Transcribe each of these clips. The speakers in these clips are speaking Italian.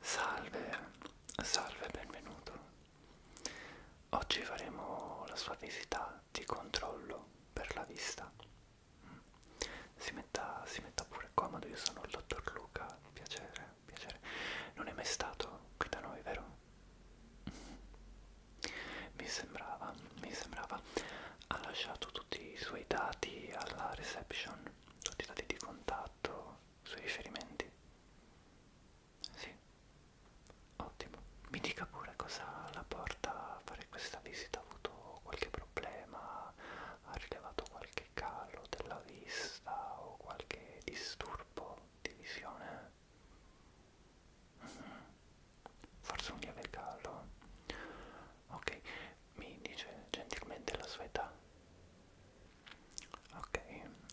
Salve, salve, benvenuto. Oggi faremo la sua visita di controllo per la vista. Si metta, si metta pure comodo, io sono il dottor Luca, piacere, piacere. Non è mai stato qui da noi, vero? Mi sembrava, mi sembrava. Ha lasciato tutto tutti i suoi dati alla reception, tutti i dati di contatto, i suoi riferimenti. Sì, ottimo. Mi dica pure cosa la porta a fare questa visita, ha avuto qualche problema, ha rilevato qualche calo della vista o qualche disturbo di visione? Forse un lieve caldo. Ok, mi dice gentilmente la sua età. Ok,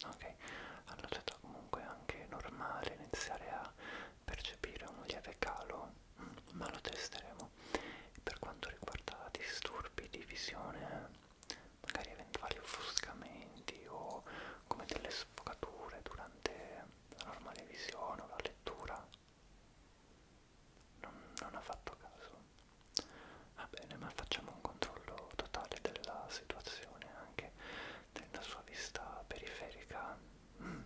ok. Allora è stato comunque anche normale iniziare a percepire un lieve calo, mm, ma lo testeremo. Per quanto riguarda disturbi di visione, magari eventuali offuscamenti o come delle sfocature durante la normale visione o la lettura, non, non ha fatto caso va bene ma facciamo un controllo totale della situazione anche della sua vista periferica mm.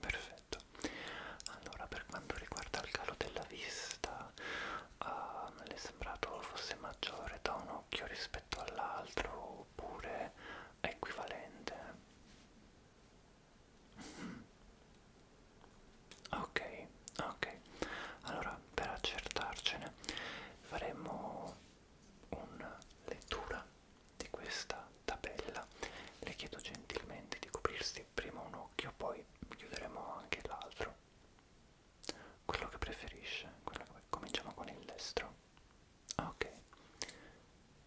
perfetto allora per quanto riguarda il calo della vista uh, le è sembrato fosse maggiore da un occhio rispetto all'altro oppure equivalente ok ok allora per accertarcene faremo una lettura di questa tabella le chiedo gentilmente di coprirsi prima un occhio poi chiuderemo anche l'altro quello che preferisce quello che... cominciamo con il destro ok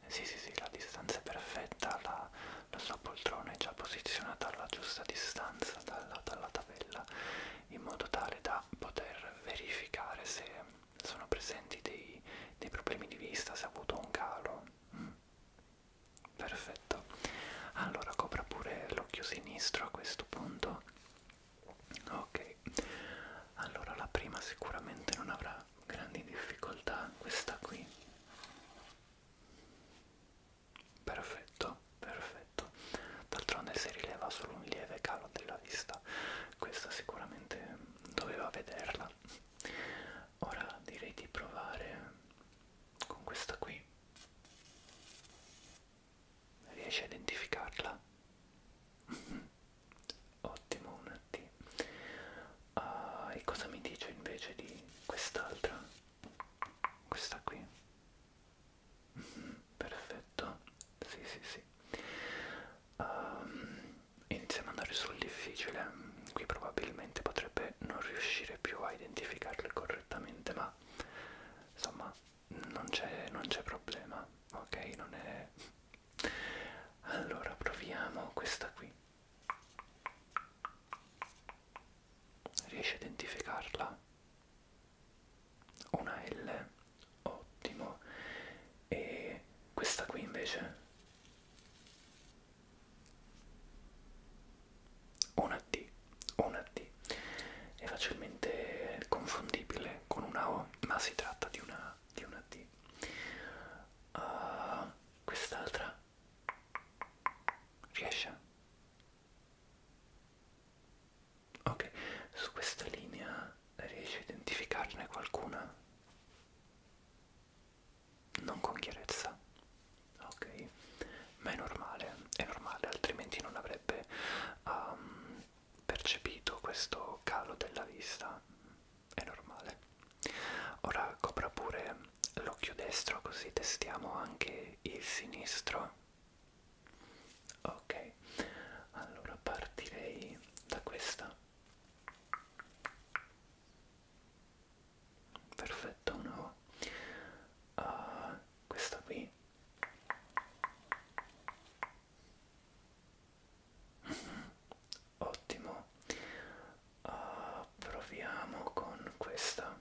sì sì sì la distanza è perfetta la, la sua poltrona è già posizionata alla giusta distanza dalla, dalla tabella in modo tale da poter verificare se sono presenti dei, dei problemi di vista se ha avuto un calo mm. perfetto allora copra pure l'occhio sinistro a questo punto ok allora la prima sicuramente non avrà grandi difficoltà questa qui perfetto perfetto d'altronde si rileva solo un lieve calo della vista questa sicuramente doveva vederla ora direi di provare con questa qui riesci a identificarla ottimo una T uh, e cosa mi dice invece di quest'altra? questa qui mm -hmm, perfetto sì sì sì um, iniziamo ad andare sul difficile qui probabilmente potrebbe non riuscire più a identificarle correttamente ma insomma non c'è problema ok non è allora proviamo questa qui Riesci a identificarla? Una L, ottimo. E questa qui invece? Una T, una T. È facilmente confondibile con una O, ma si tratta di una, di una T. Uh, quest'altra riesce ok su questa linea riesci a identificarne qualcuna non con chiarezza ok ma è normale è normale altrimenti non avrebbe um, percepito questo calo della vista è normale. Ora copra pure l'occhio destro così testiamo anche il sinistro. Ok, allora partirei da questa. Perfetto, no. Uh, ah, questa qui Ottimo. Uh, proviamo con questa.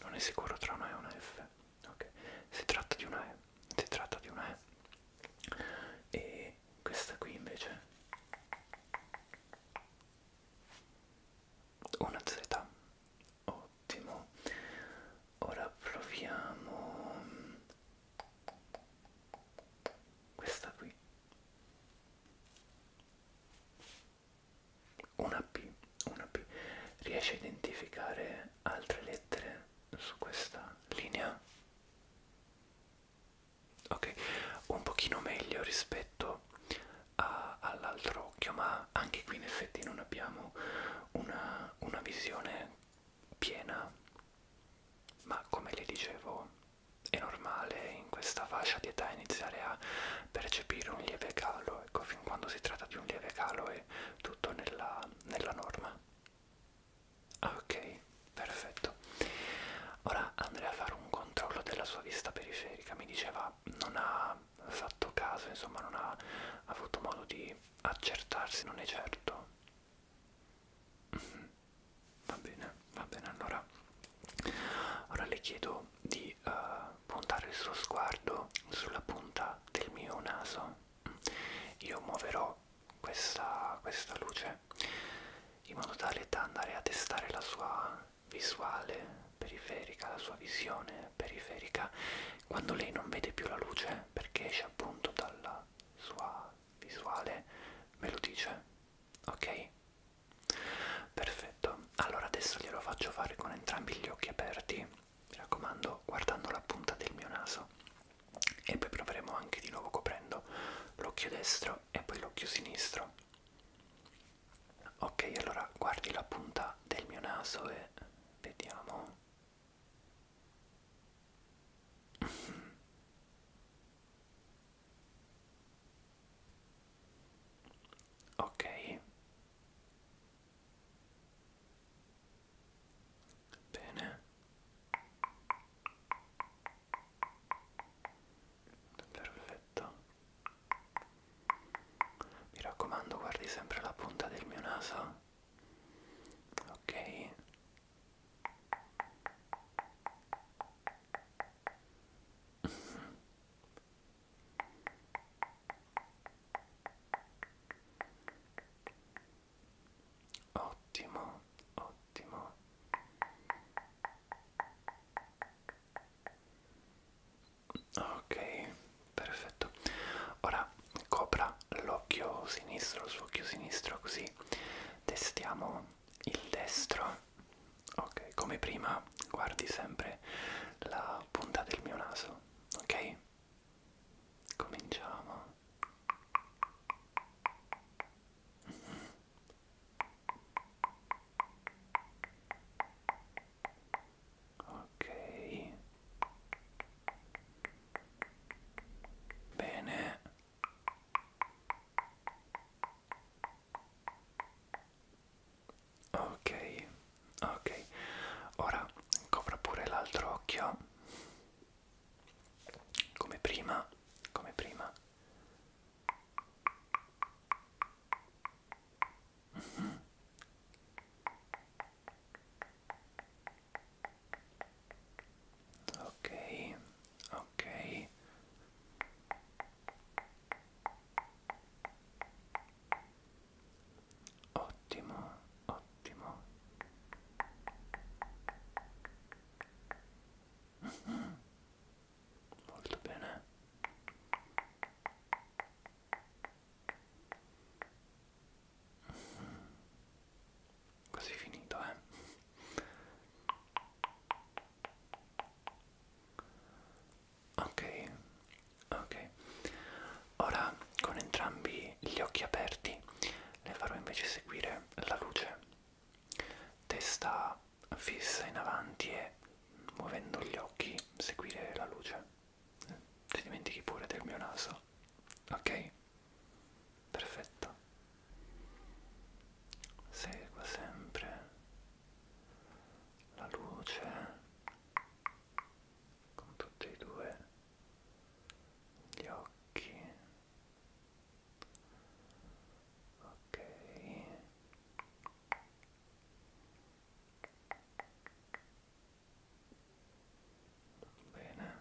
Non è sicuro tra una E e una F. Ok. Si tratta di una E. Si tratta di una E. E questa qui invece una Z. Ottimo. Ora proviamo mm, questa qui una P, una P riesce a identificare altre lettere su questa linea? Ok, un pochino meglio rispetto all'altro occhio, ma anche qui in effetti non abbiamo una, una visione piena, ma come le dicevo è normale in questa fascia di età iniziare a percepire un lieve calo, ecco fin quando si tratta di un lieve calo è tutto nella, nella norma. Ah, ok, perfetto. Ora andrei a fare un controllo della sua vista periferica, mi diceva non ha fatto caso, insomma non ha avuto modo di accertarsi, non è certo. Va bene, va bene, allora ora le chiedo di uh, puntare il suo sguardo sulla punta del mio naso. Io muoverò questa, questa luce in modo tale da andare a testare la sua visuale periferica, la sua visione periferica, quando lei non vede più la luce perché esce appunto dalla sua visuale me lo dice, ok? Perfetto, allora adesso glielo faccio fare con entrambi gli occhi aperti, mi raccomando, guardando la punta del mio naso e poi proveremo anche di nuovo coprendo l'occhio destro e poi l'occhio sinistro. Ok, allora guardi la punta del mio naso e vediamo ok bene perfetto mi raccomando guardi sempre la punta del mio naso ok Ottimo, ottimo. Ok, perfetto. Ora copra l'occhio sinistro, il suo occhio sinistro, così testiamo il destro. Ok, come prima guardi sempre la punta del mio naso, ok? Cominciamo. Mm -hmm. Ok. Bene. Ok, ok. Ora copra pure l'altro occhio. Come prima, come prima. Mm -hmm ok ok ottimo ottimo mm -hmm. molto bene Quasi finito, eh. Ok, ok. Ora con entrambi gli occhi aperti le farò invece seguire la luce. Testa fissa in avanti e muovendo gli occhi seguire la luce. Ti dimentichi pure del mio naso questo ok perfetto segua sempre la luce con tutti e due gli occhi ok bene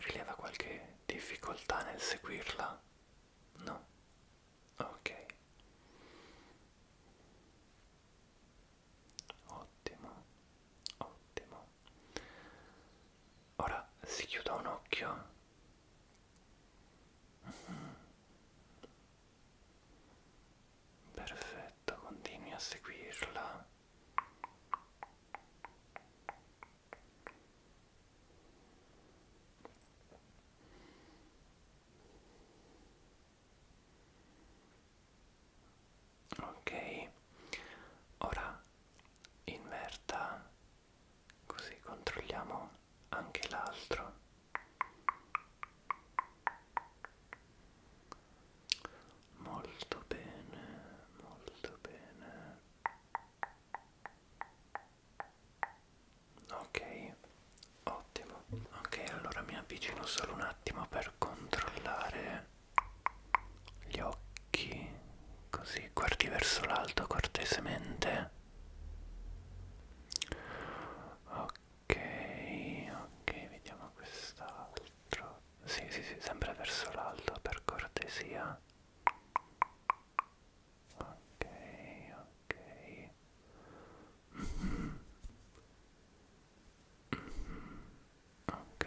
Rileva qualche difficoltà nel seguirla? No? Ok. Ottimo, ottimo. Ora si chiuda un occhio. Mm-hmm. Perfetto, continui a seguirla. Ok, ora inverta così controlliamo anche l'altro Molto bene, molto bene. Ok, ottimo. Ok, allora mi avvicino solo un attimo per controllare gli occhi. Così guardi verso l'alto cortesemente. Ok, ok, vediamo quest'altro l'altro sì sì sì sempre verso l'alto per cortesia ok ok mm -hmm. Mm -hmm. ok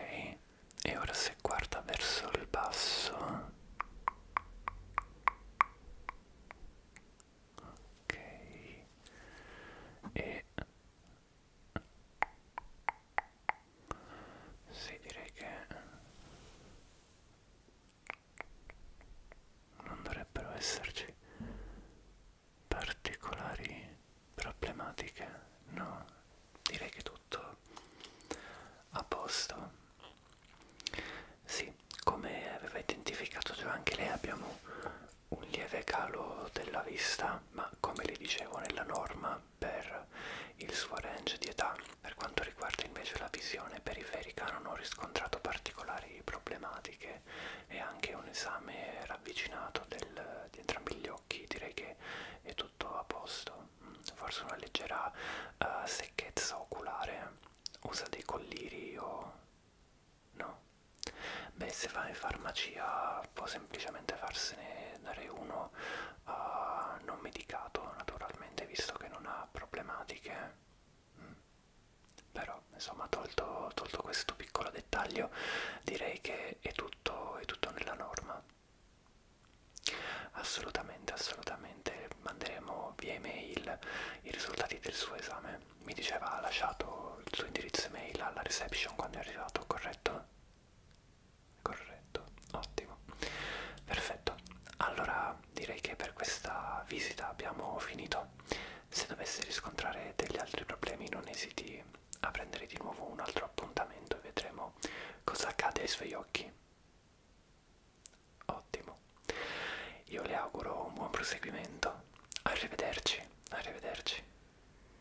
e ora se guarda verso il basso ok e sì direi che non dovrebbero esserci particolari problematiche no direi che tutto a posto sì come aveva identificato già anche lei abbiamo un lieve calo della vista età, ma come le dicevo nella norma per il suo range di età. Per quanto riguarda invece la visione periferica non ho riscontrato particolari problematiche e anche un esame ravvicinato del, di entrambi gli occhi direi che è tutto a posto. Mm, forse una leggera uh, secchezza oculare, usa dei colliri o no? beh se va in farmacia può semplicemente farsene dare uno uh, non medicato naturalmente visto che non ha problematiche mm. però insomma tolto, tolto questo piccolo dettaglio direi che è tutto, è tutto nella norma assolutamente assolutamente manderemo via email i risultati del suo esame mi diceva ha lasciato il suo indirizzo email alla reception quando è arrivato corretto Corretto, ottimo. Perfetto. Allora direi che per questa visita abbiamo finito. Se dovessi riscontrare degli altri problemi non esiti a prendere di nuovo un altro appuntamento e vedremo cosa accade ai suoi occhi. Ottimo. Io le auguro un buon proseguimento. Arrivederci, arrivederci.